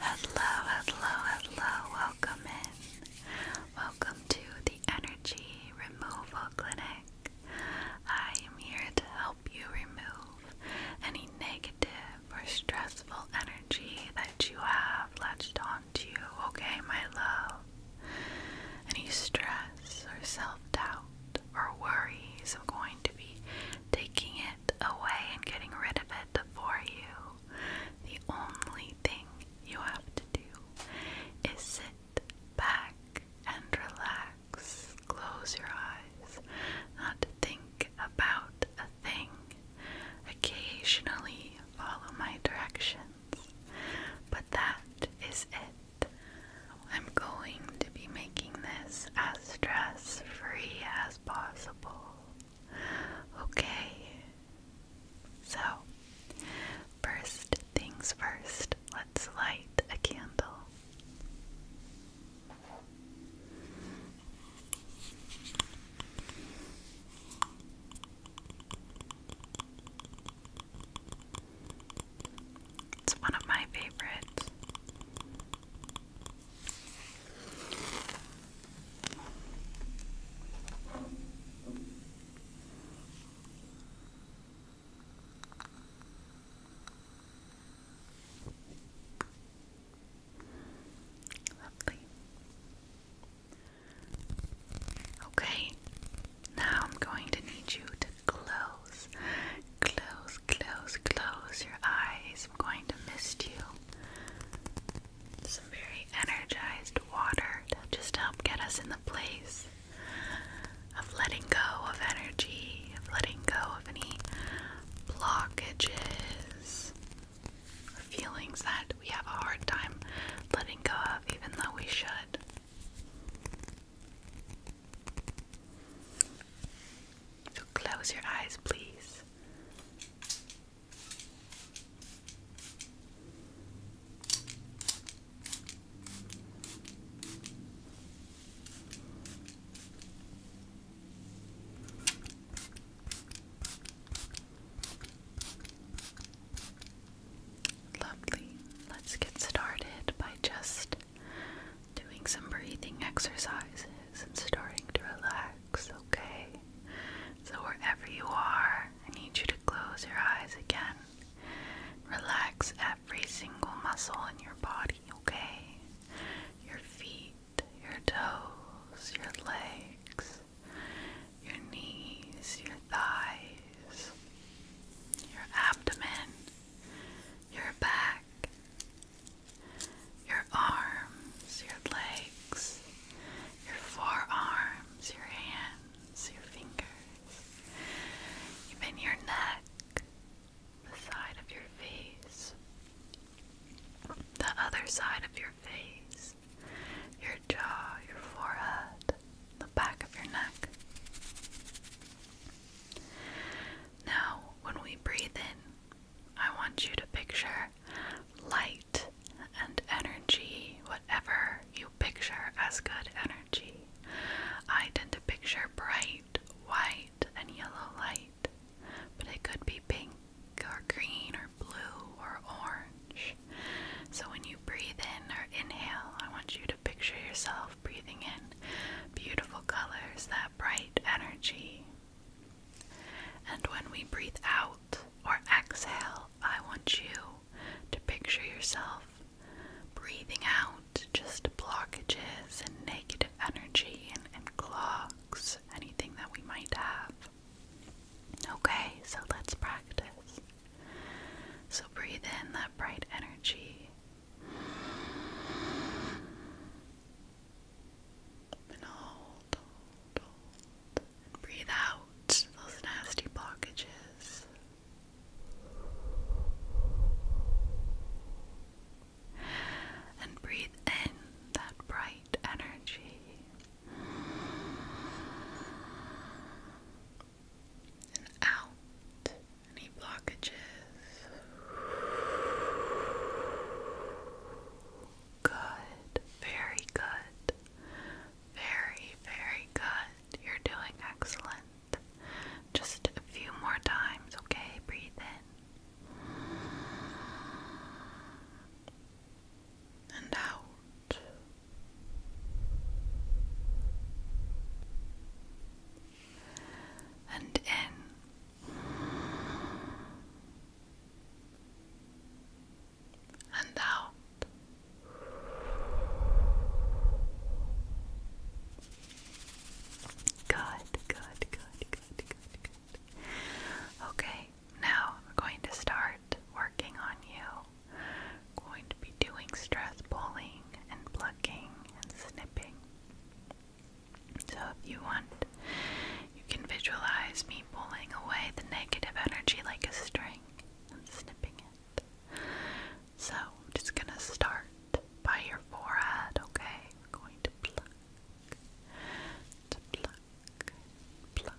Hello, hello, hello, welcome in. Welcome to the Energy Removal Clinic. I am here to help you remove any negative or stressful energy that you have latched on around you, okay, my love? Any stress or self doubt or worries, I'm going to be taking it away and getting rid of it for you. The only thing you have to do is sit back and relax. Close your eyes, not to think about a thing. Occasionally follow my directions. But that is it. I'm going to be making this as stress free as possible. Okay? So, first things first, let's light a candle. It's one of my favorites. Lovely. Okay, now I'm going to need you to close, close, close, close your eyes. I'm going to mist you some very energized water to just help get us in the place of letting go of energy, of letting go of any blockages feelings that we have a hard time letting go of even though we should. So close your eyes, please. Lovely. Let's get started by just doing some breathing exercises and starting to relax, okay? So, wherever you are, I need you to close your eyes again. Relax every single muscle in your body, okay? Your feet, your toes, your legs, your knees, your thighs, your abdomen, your back, your arms, your legs, your forearms, your hands, your fingers, even your neck, the side of your face, the other side of your face your jaw, your forehead, the back of your neck. Now, when we breathe in, I want you to picture light and energy, whatever you picture as good energy. I tend to picture bright white and yellow light, but it could be pink or green or blue or orange. So when you breathe in or inhale, I want you to picture yourself breathing in beautiful colors, that bright energy. And when we breathe out or exhale, I want you to picture yourself breathing out just blockages and negative energy and, and clogs, anything that we might have. Okay, so let's practice. So breathe in that bright energy. And hold, breathe out those nasty blockages. And breathe in that bright energy and out any blockages. Good, very good, very, very good. You're doing excellent. Just a few more times, okay? Breathe in and out and in and out. Good, good, good, good, good, good. Okay, now I'm going to start working on you. going to be doing stress pulling and plucking and snipping. So if you want, you can visualize me pulling away the negative energy like a string and snipping it. So I'm just gonna start by your forehead, okay? going to pluck, to pluck, pluck,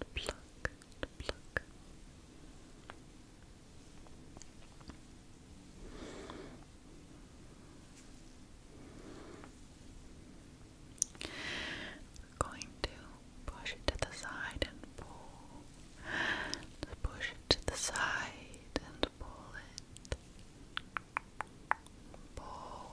and pluck going to push it to the side and pull. Just push it to the side and pull it. Pull.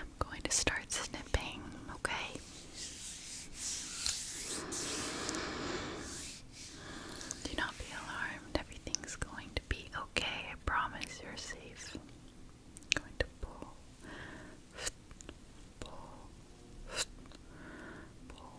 I'm going to start snipping, okay? Do not be alarmed, everything's going to be okay. I promise you're safe. going to pull, pull, pull,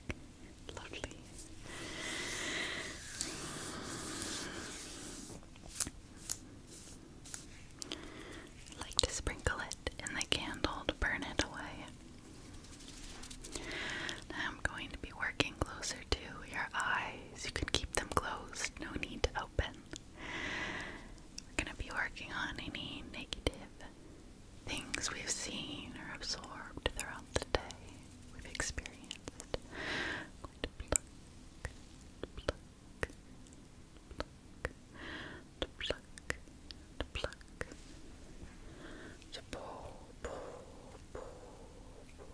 I like to sprinkle it in the candle to burn it away. I'm going to be working closer to your eyes. You can keep them closed, no need to open. We're going to be working on any negative Things we've seen or absorbed throughout the day, we've experienced. I'm going to pluck, pluck, pluck, pluck, pluck, to pull, pull, pull, pull, pull.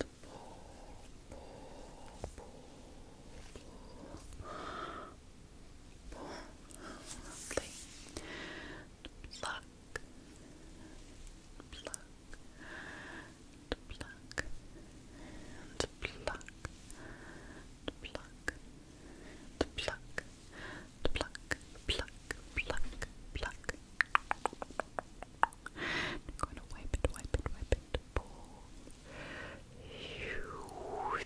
To Lovely. Pluck. Pluck. Pluck. And pluck. Pluck. Pluck. Pluck. Pluck. Pluck. Pluck. I'm going to wipe it, wipe it, wipe it pole. And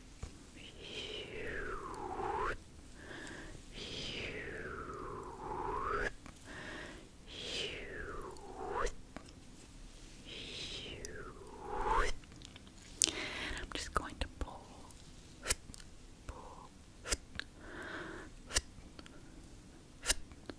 I'm just going to pull, pull, pull, pull,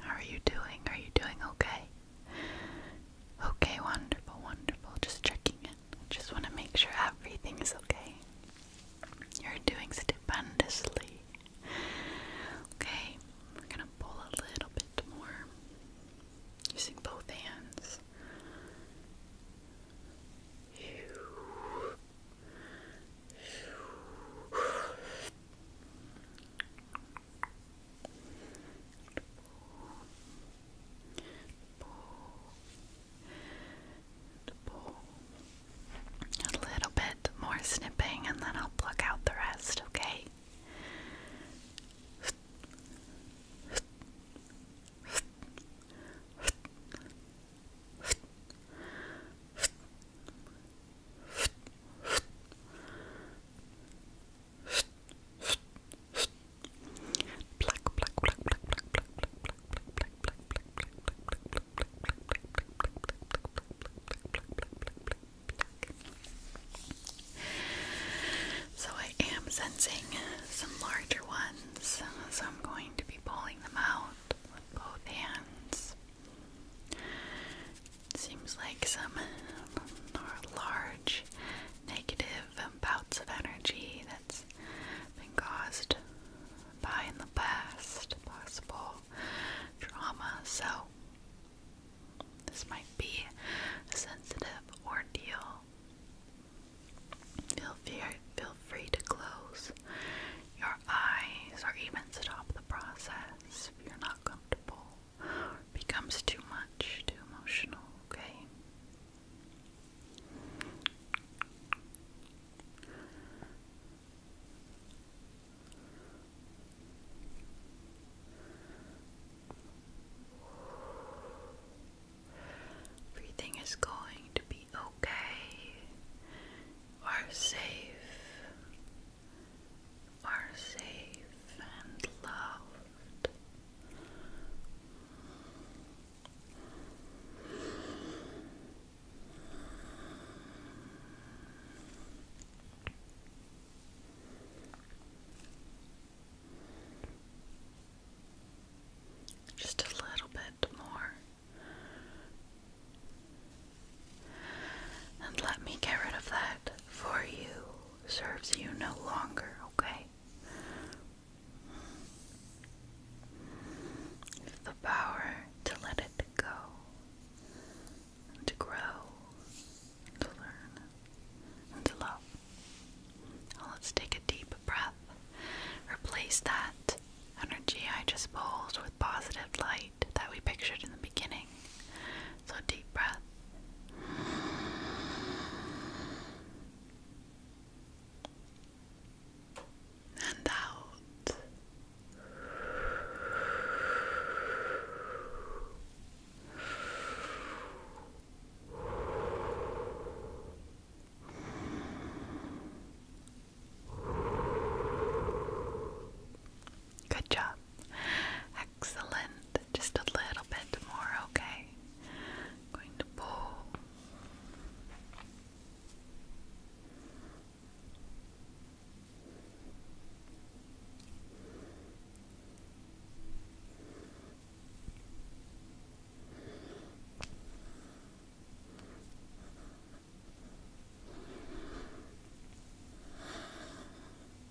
How are you doing? Are you doing okay? Okay, wonderful, wonderful. Just checking it. Just want to make sure everything is okay. You're doing stupendously. Okay, we're gonna pull a little bit more using both hands. A little bit more snipping, and then I'll pluck out the rest, okay? so I am sensing some larger ones, so I'm going to be pulling them out with both hands. Seems like some large negative bouts of energy that's been caused by in the past, possible trauma. So, this might be a sensitive ordeal. Feel free, feel free to close your eyes or even stop the process if you're not comfortable becomes too much, too emotional, okay? Everything is going to be okay or safe are safe and loved. Just a little bit more. And let me get rid of that for you serves you no longer, okay? The power to let it go, to grow, to learn, and to love. let's take a deep breath. Replace that energy I just pulled with positive light that we pictured in the beginning. So, deep breath. And out. Good job. Excellent. Just a little bit more, okay? going to pull.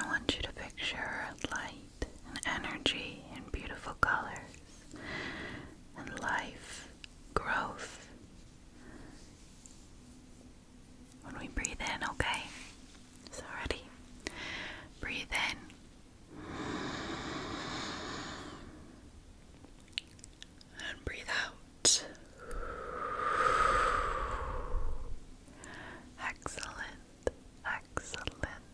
I want you to picture light and energy and beautiful colors and life, growth. When we breathe in, okay? So, ready? Breathe in. And breathe out. Excellent, excellent.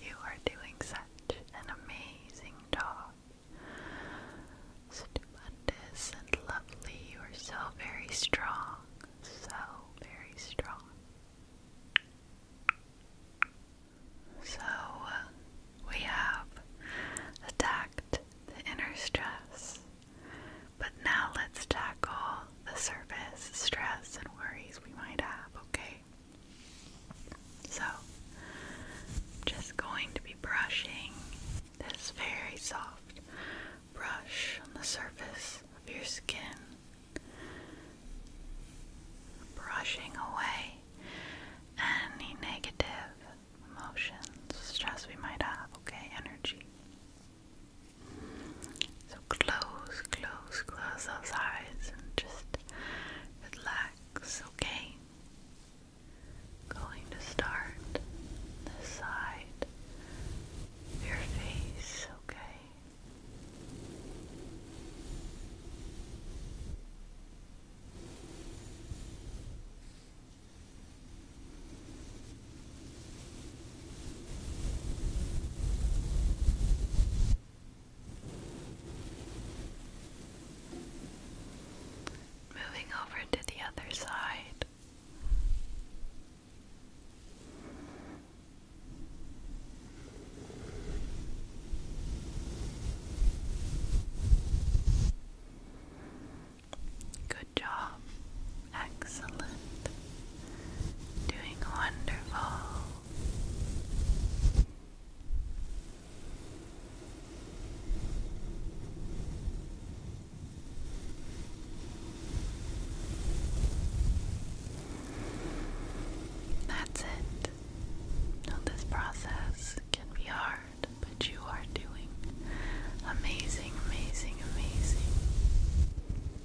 You are doing such an amazing job. Stupendous and lovely. You are so very strong, so very strong. So, uh, we have attacked the inner stress but now let's tackle the surface stress and worries we might have, okay? So, just going to be brushing this very soft brush on the surface of your skin. Brushing away any negative emotions, stress we might have, okay? Energy. So close, close, close those eyes and just relax, okay? Going to start this side of your face, okay? Moving over to the other side. Good job. Excellent. Doing wonderful. That's it. Now, this process can be hard, but you are doing amazing, amazing, amazing.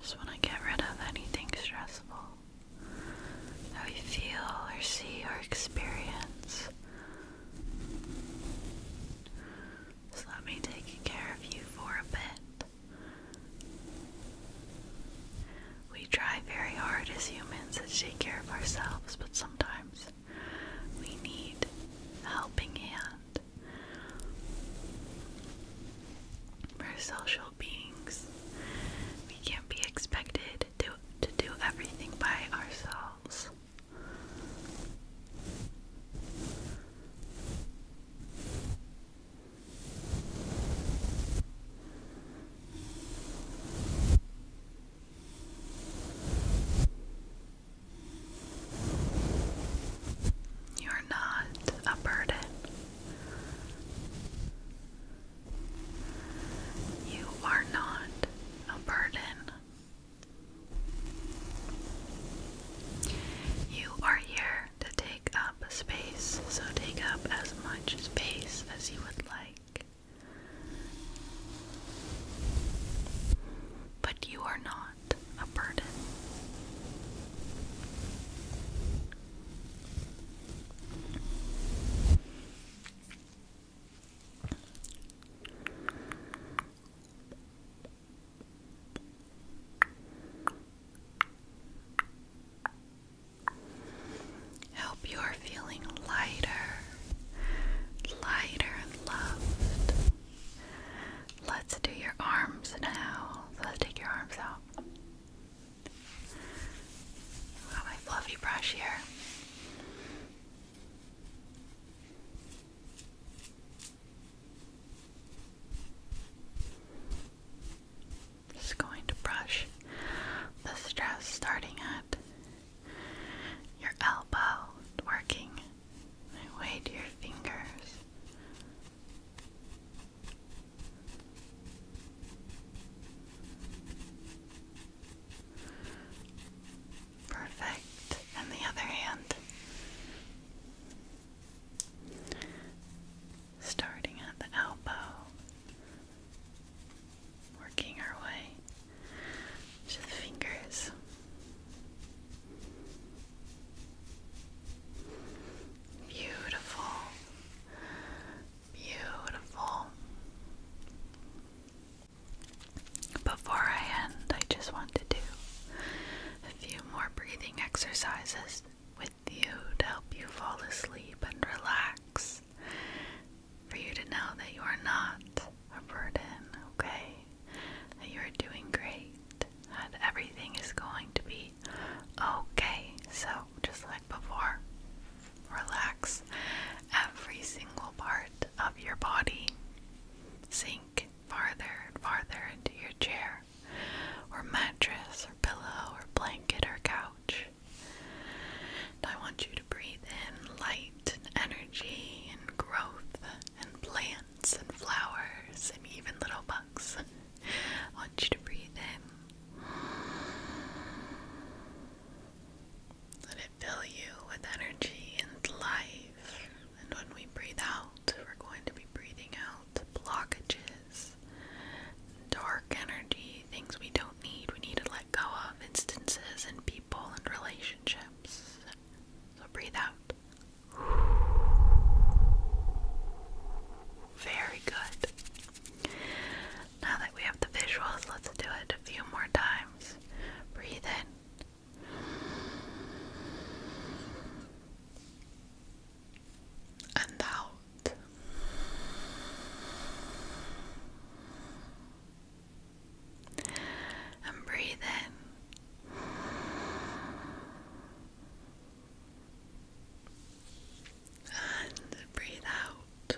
Just want to get rid of anything stressful that we feel or see or experience. Just let me take care of you for a bit. We try very hard as humans to take care of ourselves, but sometimes we need a helping hand. We're social beings. We can't be expected to, to do everything by ourselves. You're not a burden. You are not a burden. You are here to take up space, so take up as much space as you would like. But you are not a burden. Help you are feeling lighter, lighter loved. Let's do your arms now. let's take your arms out. got my fluffy brush here. Just going to brush the stress starting at your elbow, working my way to your fingers. Perfect. And the other hand. Starting at the elbow, working our way to the fingers. Beautiful, beautiful. Before I end, I just want to do a few more breathing exercises with you to help you fall asleep and relax. For you to know that you are not a burden, okay? you're doing great, that everything is going to be okay. So, just like before, relax every single part of your body, sink farther and farther into your chair, or mattress, or pillow, or blanket, or couch. I want you to breathe in light and energy and growth and plants and flowers and even little bugs. I want you to breathe in. Let it fill you with energy and life. And when we breathe out, we're going to be breathing out blockages, dark energy, things we don't need, we need to let go of, instances and people and relationships so breathe out. Very good. Now that we have the visuals, let's do it a few more times. Breathe in. And out. And breathe in. And breathe out.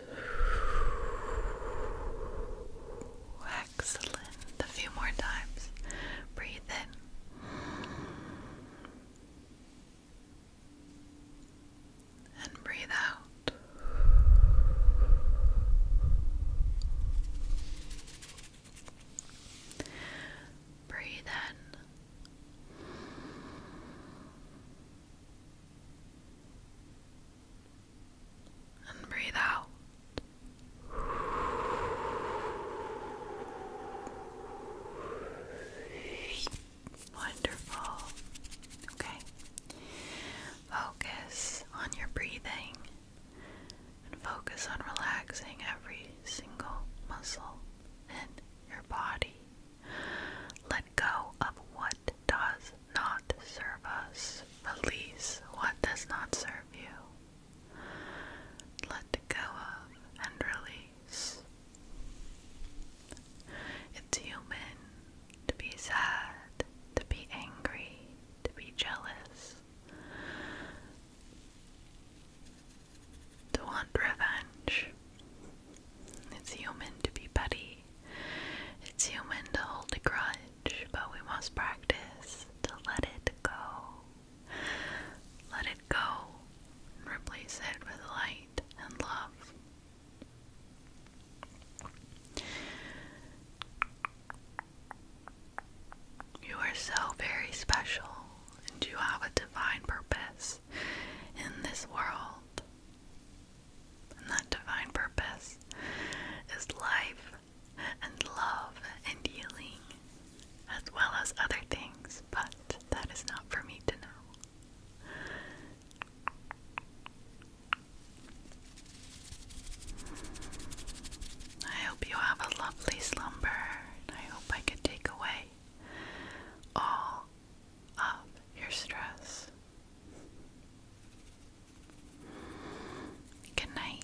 Excellent. A few more times. Breathe in. And breathe out. Breathe in. And breathe out. Wonderful. Okay. Focus on your breathing and focus on relaxing every single muscle in your body. Let go of what does not serve us. Release what does not serve you. Let go of and release. It's human to be sad, to be angry, to be jealous, to want revenge. It's human to be petty, it's human to hold a grudge, but we must practice to let it go. Let it go and replace it with light and love. You are so very special, and you have a divine purpose in this world. And that divine purpose is life and love and healing, as well as other things, but that is not for me to know. I hope you have a lovely slumber. I hope I could take away all of your stress. Good night.